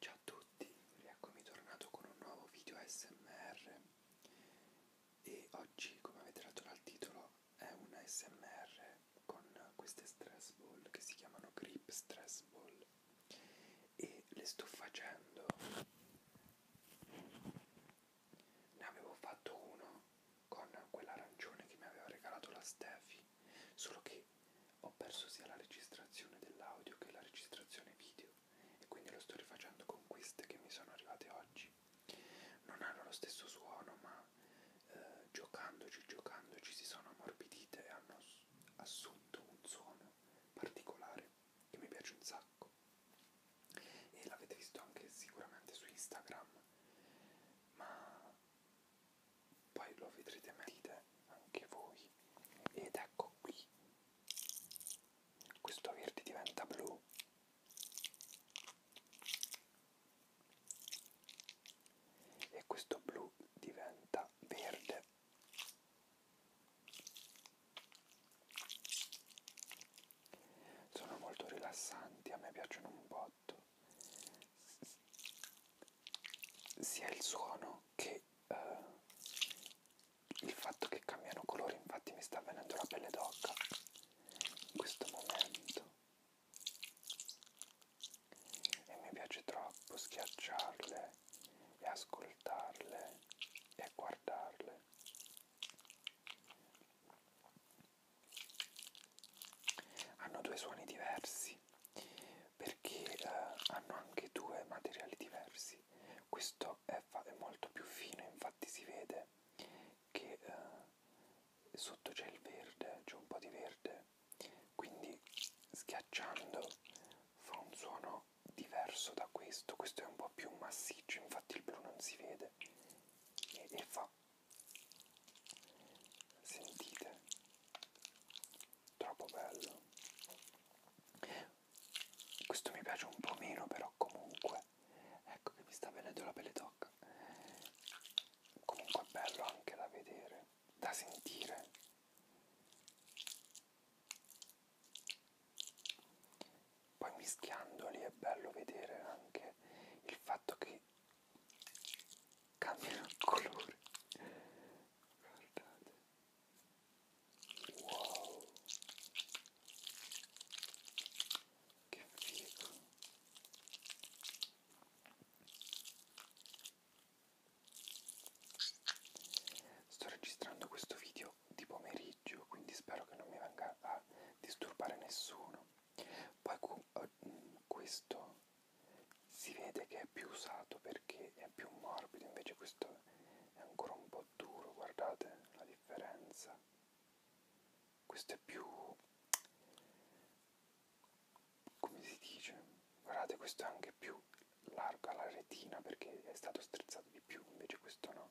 Ciao a tutti, rieccomi tornato con un nuovo video SMR e oggi come avete letto dal titolo è un SMR con queste stress ball che si chiamano grip stress ball e le sto facendo ne avevo fatto uno con quell'arancione che mi aveva regalato la Steffi solo che ho perso sia la registrazione dell'audio che la registrazione video e quindi lo sto rifacendo con queste che mi sono arrivate oggi. Non hanno lo stesso suono, ma eh, giocandoci, giocandoci si sono ammorbidite e hanno assunto un suono particolare che mi piace un sacco. E l'avete visto anche sicuramente su Instagram, ma poi lo vedrete meglio anche voi ed ecco qui questo verde diventa blu e questo blu diventa verde sono molto rilassanti a me piacciono un po prodotto sia il suono che eh, il fatto che cambiano colore infatti mi sta venendo la pelle d'occa in questo momento e mi piace troppo schiacciarle e ascoltarle e guardarle hanno due suoni diversi perché eh, hanno anche due materiali diversi questo è, è molto più fino infatti si vede che eh, sotto c'è il verde c'è un po' di verde quindi schiacciando fa un suono diverso da questo questo è un po' più massiccio infatti il blu non si vede e, e fa Sentite, troppo bello. Questo mi piace un po' meno, però comunque, ecco che mi sta venendo la pelle d'oca. Comunque è bello anche da vedere, da sentire. Poi mischiandoli è bello vedere anche il fatto che cambiano il colore guardate wow che figo sto registrando questo video di pomeriggio quindi spero che non mi venga a disturbare nessuno poi eh, questo si vede che è più usato perché è più morbido, invece questo è ancora un po' duro, guardate la differenza. Questo è più... come si dice? Guardate, questo è anche più largo alla retina perché è stato strezzato di più, invece questo no.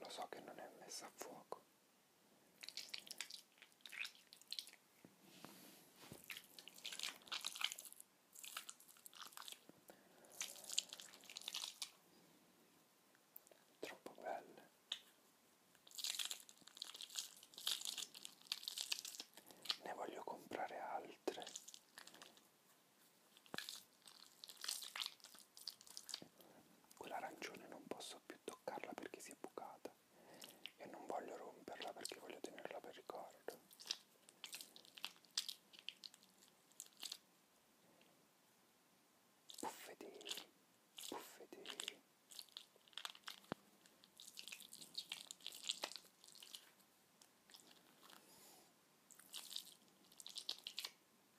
Lo so che non è messa a fuoco Troppo belle. Ne voglio comprare altre. Quella arancione non posso più toccarla perché si è bucata e non voglio romperla perché voglio tenerla per ricordo. Puffedini, puffedini.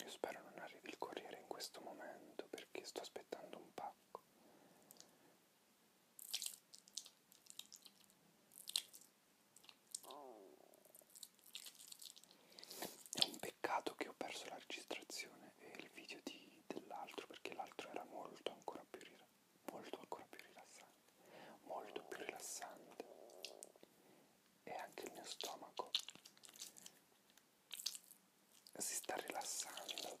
Io spero non arrivi il corriere in questo momento perché sto aspettando un pacco è un peccato che ho perso la registrazione e il video dell'altro perché l'altro era molto ancora più molto ancora più rilassante, molto più rilassante e anche il mio stomaco si sta rilassando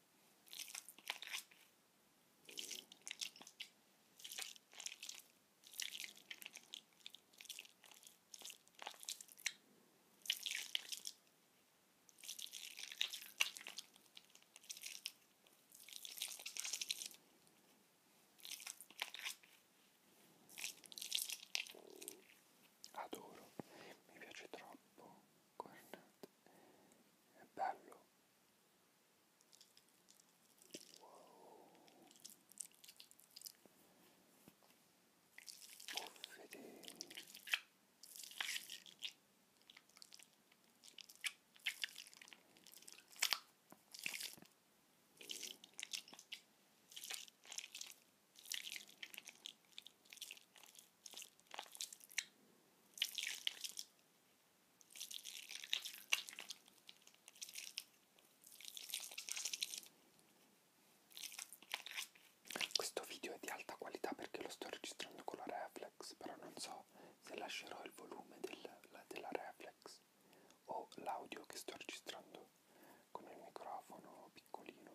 Adoro, mi piace troppo, guardate è bello wow. Buffete. Questo video è di alta qualità perché lo sto registrando con la reflex, però non so se lascerò il volume del, la, della reflex o l'audio che sto registrando con il microfono piccolino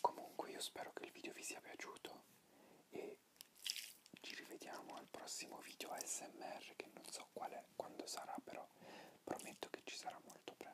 Comunque io spero che il video vi sia piaciuto e ci rivediamo al prossimo video ASMR che non so qual è, quando sarà però prometto che ci sarà molto presto.